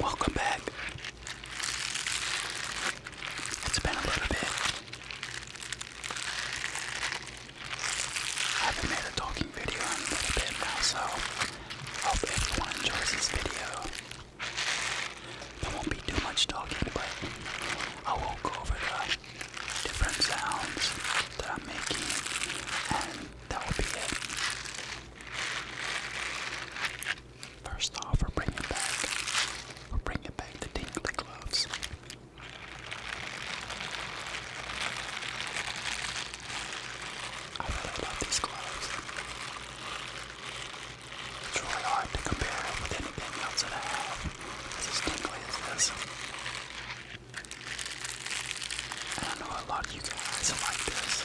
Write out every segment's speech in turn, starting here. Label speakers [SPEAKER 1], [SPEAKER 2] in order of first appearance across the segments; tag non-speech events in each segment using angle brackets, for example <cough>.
[SPEAKER 1] Welcome back. It's been a little bit. I haven't made a talking video in a little bit now, so hope everyone enjoys this video. There won't be too much talking, but I will go over the different sounds that I'm making, and that will be it. First off, we're bringing back, we're bringing back the tingly gloves. I love these gloves. It's really hard to compare with anything else that I have. It's as tingly as this. And I know a lot of you guys like this.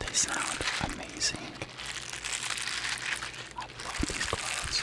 [SPEAKER 1] They sound amazing. I love these clouds.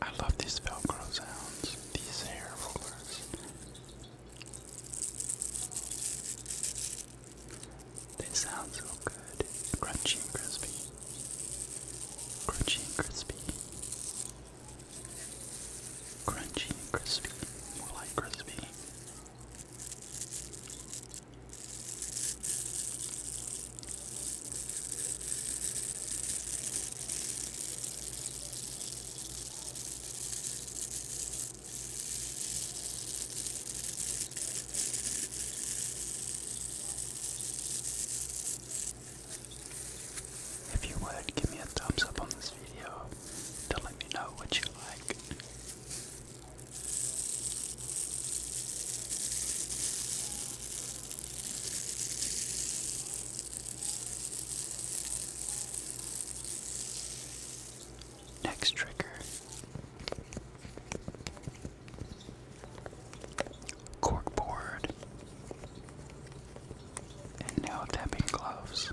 [SPEAKER 1] I love these Velcro sounds, these hair rollers. They sound so good. Crunchy and crispy. Crunchy and crispy. Crunchy and crispy. More like crispy. If you would give me a thumbs up on this video to let me know what you like. Next trigger corkboard and nail tapping gloves.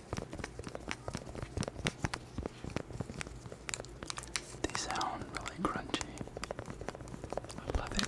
[SPEAKER 1] They sound really crunchy. I love it.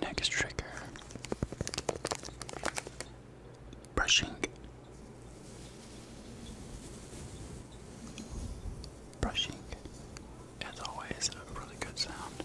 [SPEAKER 1] Next trigger brushing, brushing, as always, a really good sound.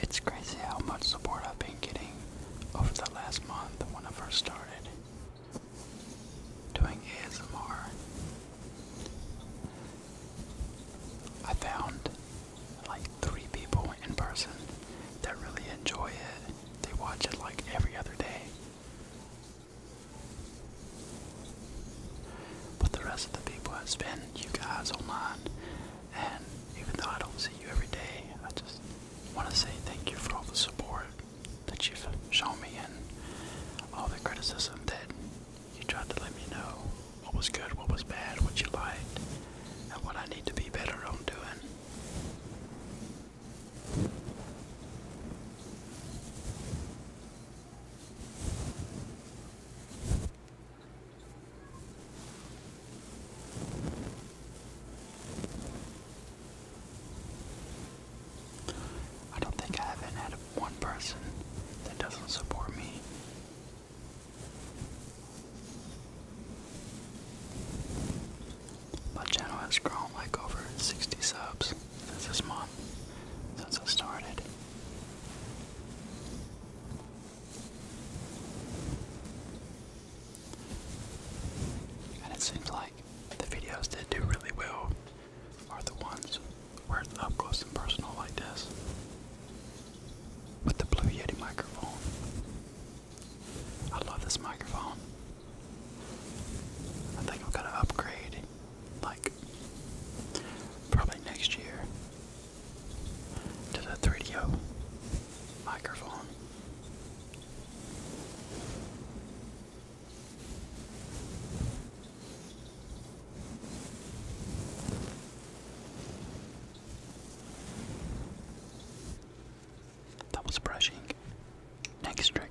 [SPEAKER 1] It's crazy how much support I've been getting over the last month when I first started doing ASMR. I found like three people in person that really enjoy it. They watch it like every other day. But the rest of the people has been you guys online and even though I don't see you every day, I just want to say thank you for all the support that you've shown me and all the criticism that you tried to let me know what was good, what was bad, what you liked, and what I need to be better on doing. I don't think I haven't had one person that doesn't support me. My channel has grown like over 60 subs this month, since I started. And it seems like the videos that do really well are the ones where it's up close and personal like this. With the Blue Yeti microphone. I love this microphone. I think I'm gonna upgrade like probably next year to the 3DO microphone. That was brushing. Next trigger.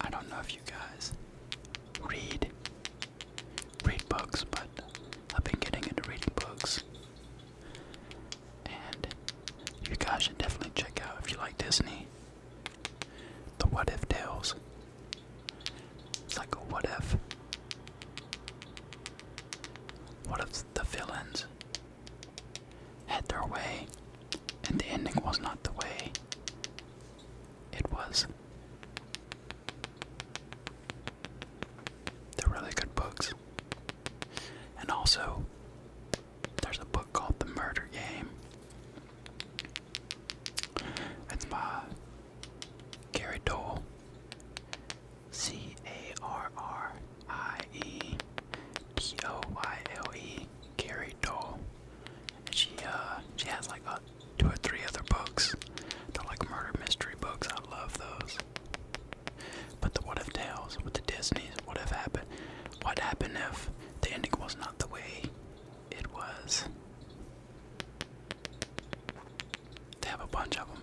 [SPEAKER 1] I don't know if you guys read read books, but I've been getting into reading books. And you guys should definitely check out if you like Disney. The what if tales. It's like a what if. What if the villains had their way and the ending was not the way it was? They're really good books. And also, there's a book called The Murder Game. That's by Gary Dole. C A R R I E D O Y L E. Gary Dole. And she uh she has like a, two or three other books. They're like murder mystery books. I love those. But the what if tales with the Disney's, what if happened? What happened if the ending was not the way it was to have a bunch of them.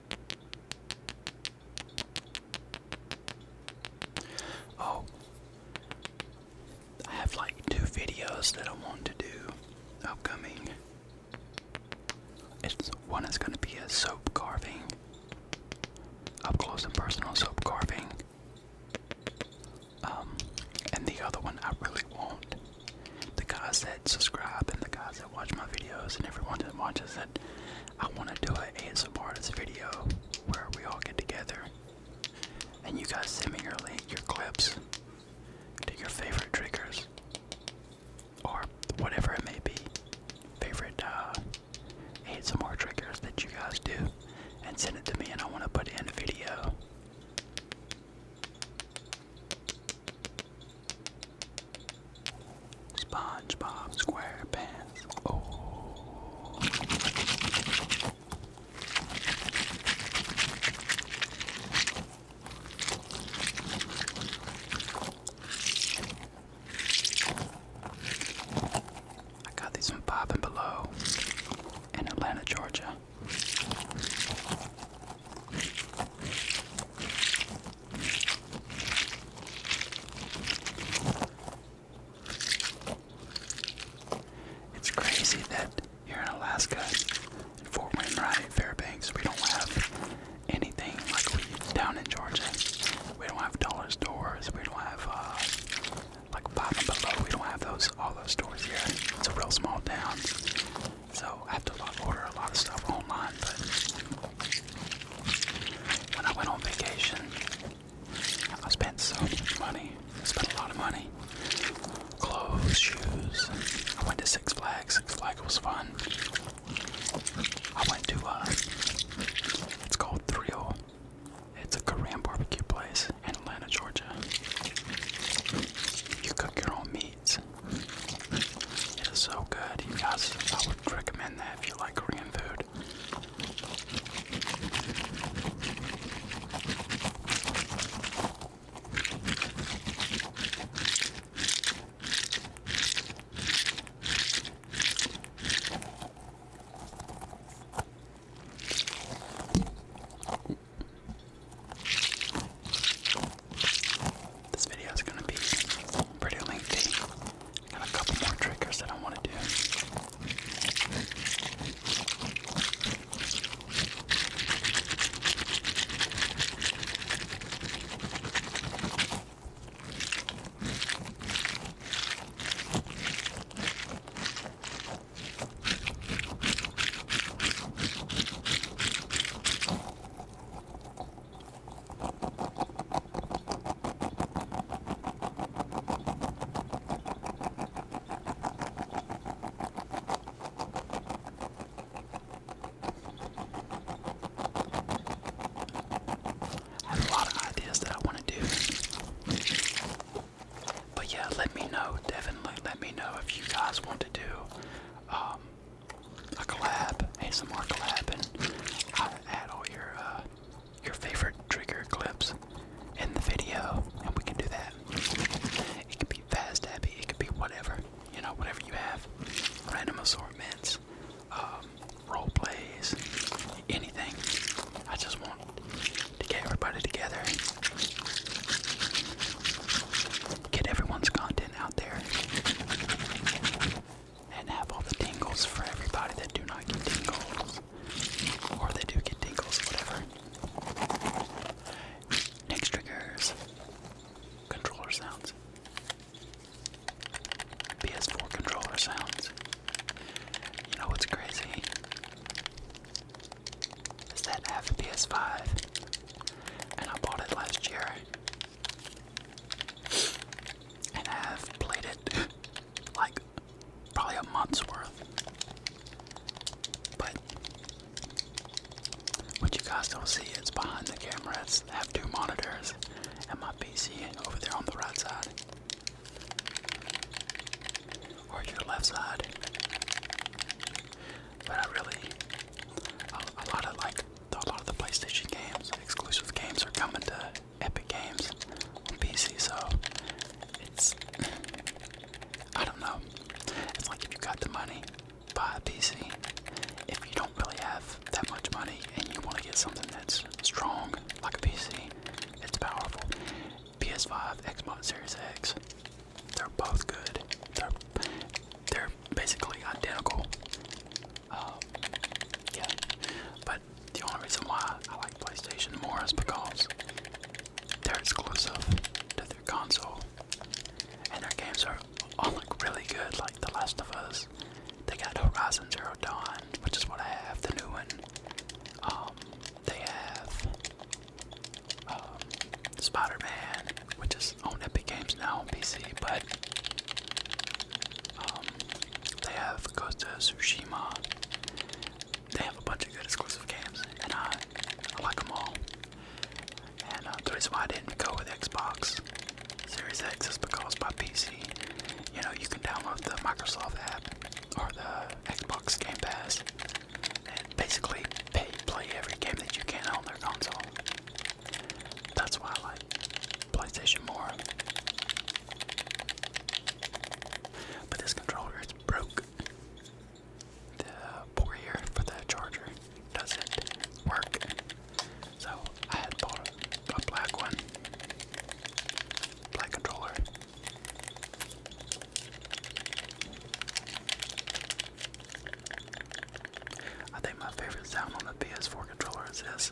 [SPEAKER 1] Oh, I have like two videos that I want to do upcoming. It's one is going to be a soap carving, up close and personal soap carving. Um, and the other one I really want. The guys that subscribe and the guys that watch my videos and everyone that watches it. I want to do an ASMR artist video where we all get together and you guys send me your link, your clips to your favorite triggers or whatever it may be, favorite uh, ASMR triggers that you guys do, and send it to me, and I want to put in a video. SpongeBob SquarePants. Oh. I got these from Bob and Below in Atlanta, Georgia. It's crazy that here in Alaska, in Fort Wainwright, Fairbanks, we don't have anything like we down in Georgia. We don't have dollar stores. We don't have uh, like Five and Below. We don't have those all those stores here. It's a real small town, so I have to order a lot of stuff online. When I went on vacation, I spent so much money. I spent a lot of money. Clothes, shoes. I went to Six Flags. Six Flags was fun. I went to, uh, it's called Thrill. It's a Korean barbecue place in Atlanta, Georgia. You cook your own meats. It is so good. You guys, I would recommend recommend that if you like Korean food. This video is going to be pretty lengthy. I got a couple more triggers that I want to do. I a lot of ideas that I want to do. But yeah, let me know, Devin. let me know if you guys want to do um, a collab, ASMR collab, and i add all your uh, your favorite trigger clips in the video, and we can do that. It could be fast happy, it could be whatever, you know, whatever you have. Random assortments, um, role plays, anything. I just want to get everybody together, get everyone's content out there and have all the tingles for everybody that do not get tingles. Or they do get tingles, whatever. Next triggers controller sounds. PS4 controller sounds. You know what's crazy? Is that I have a PS5 and I bought it last year and I have played it <laughs> like probably a month's worth. But what you guys don't see it's behind the camera, I have two monitors and my PC over there on the right side. Or your left side. But I really, a lot of like a lot of the PlayStation games, exclusive games, are coming to Epic Games on PC. So it's I don't know. It's like if you got the money, buy a PC. If you don't really have that much money and you want to get something that's strong, like a PC, it's powerful. PS5, Xbox Series X, they're both good. They're they're basically identical. Um, yeah, but the only reason why I like PlayStation more is because they're exclusive to their console, and their games are all really good. Like The Last of Us, they got Horizon Zero Dawn, which is what I have, the new one. Um, they have um, Spider-Man, which is on Epic Games now on PC, but um, they have Ghost of Tsushima. They have a bunch of good exclusive games, and I, I like them all. And uh, the reason why I didn't go with Xbox Series X is because my PC, you know, you can download the Microsoft app or the Xbox Game Pass and basically play every game that you can on their console. That's why I like PlayStation more. But this controller is broke. The port here for the charger doesn't work. So I had bought a, black one. Black controller. I think my favorite sound on the PS4 controller is this.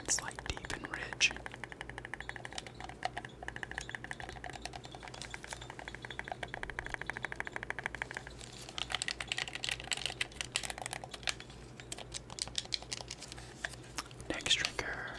[SPEAKER 1] It's like deep and rich. Next trigger.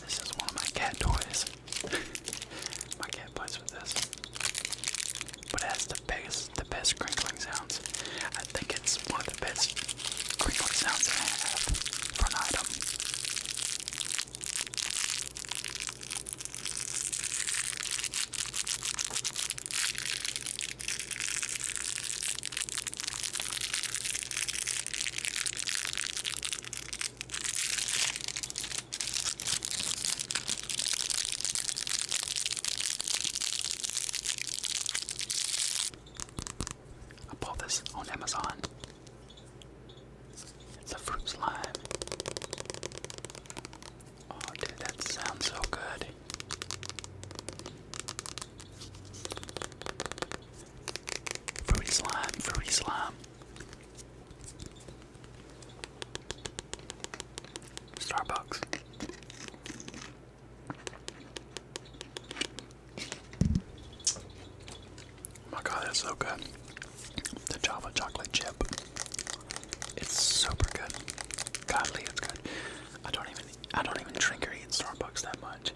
[SPEAKER 1] This is one of my cat toys. <laughs> my cat plays with this. But it has the best, the best crinkling sounds. I think it's one of the best crinkling sounds I have for an item. I bought this on Amazon. It's a fruit slime. Oh, dude, that sounds so good. Fruity slime, fruity slime. Starbucks. Oh my god, that's so good. The Java chocolate chip. It's super good. Godly, it's good. I don't even I don't even drink or eat Starbucks that much,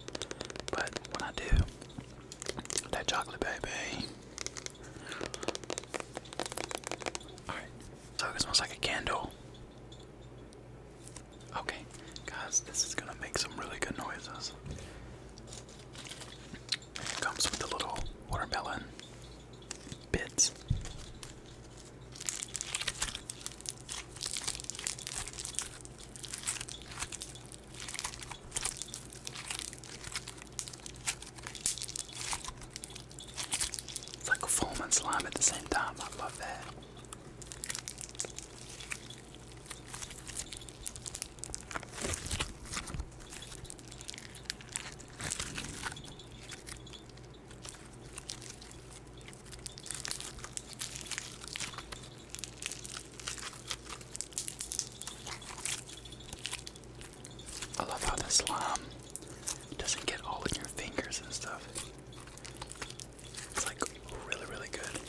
[SPEAKER 1] but when I do, that chocolate baby. All right, so it smells like a candle. Okay, guys, this is gonna make some really good noises. comes with a little watermelon bits. It's like foam and slime at the same time. I love that. I love how the slime doesn't get all in your fingers and stuff. It's like really, really good.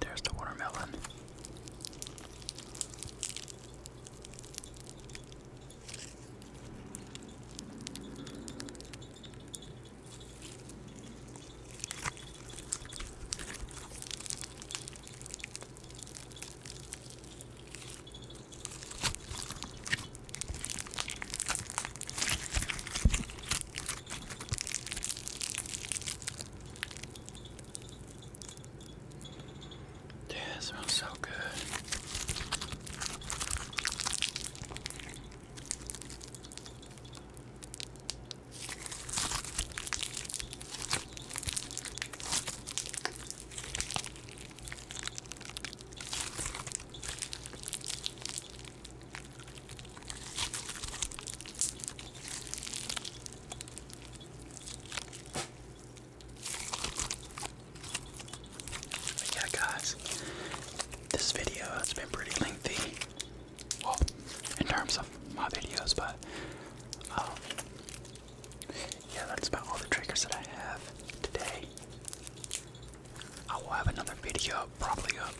[SPEAKER 1] There's the watermelon. Yeah, smells so good yeah, guys, this video has been pretty lengthy. Well, in terms of my videos, but um, yeah, that's about all the triggers that I have today. I will have another video probably up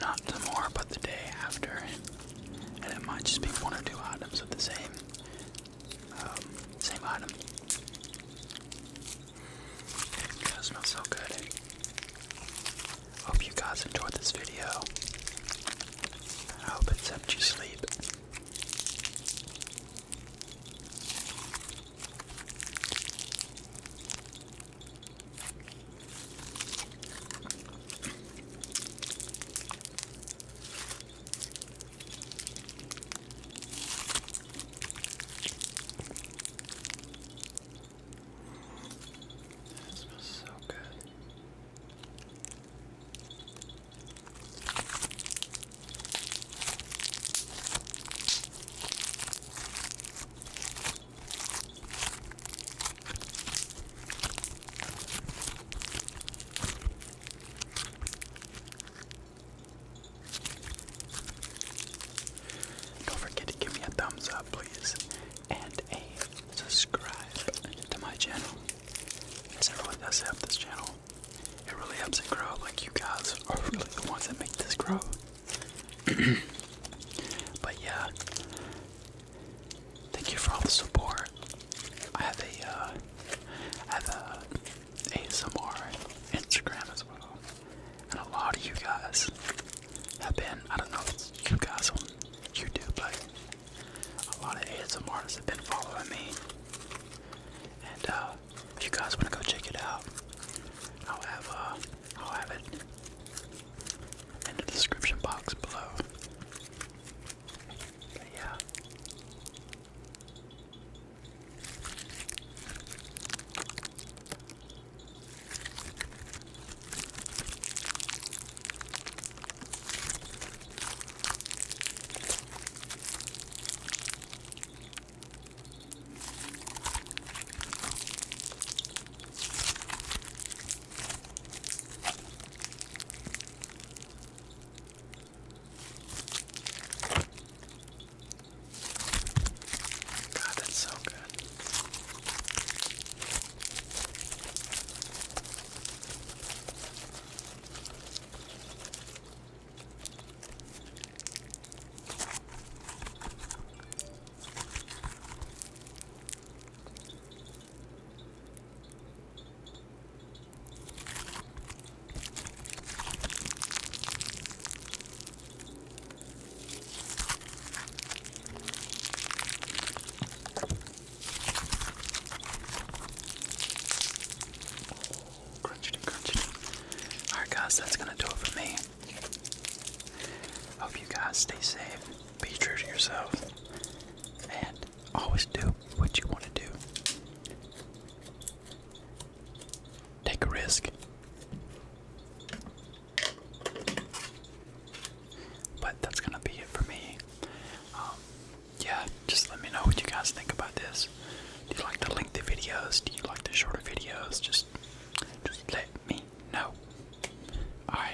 [SPEAKER 1] not tomorrow, but the day after and it might just be one or two items of the same um, same item. That smells so good. Hope you guys enjoyed this video. I hope it's helped you sleep. That smells so good. Don't forget to give me a thumbs up, please, and a subscribe to my channel. it really does help this channel. It really helps it grow. Like you guys are really the ones that make this grow. <clears throat> but yeah, Thank you for all the support. I have a, uh, I have a ASMR Instagram as well, and a lot of you guys have been. I don't know if you guys on YouTube, but a lot of ASMR have been following me, and uh, if you guys want to go check it out, I'll have, uh, will have it in the description box below. yeah. God, that's so good. Alright, guys, that's gonna do it for me. Hope you guys stay safe, be true to yourself, and always do what you want to do. Take a risk. But that's gonna be it for me. Um, yeah, just let me know what you guys think about this. Do you like the lengthy videos? Do you like the shorter videos? Just, just let me know. All right.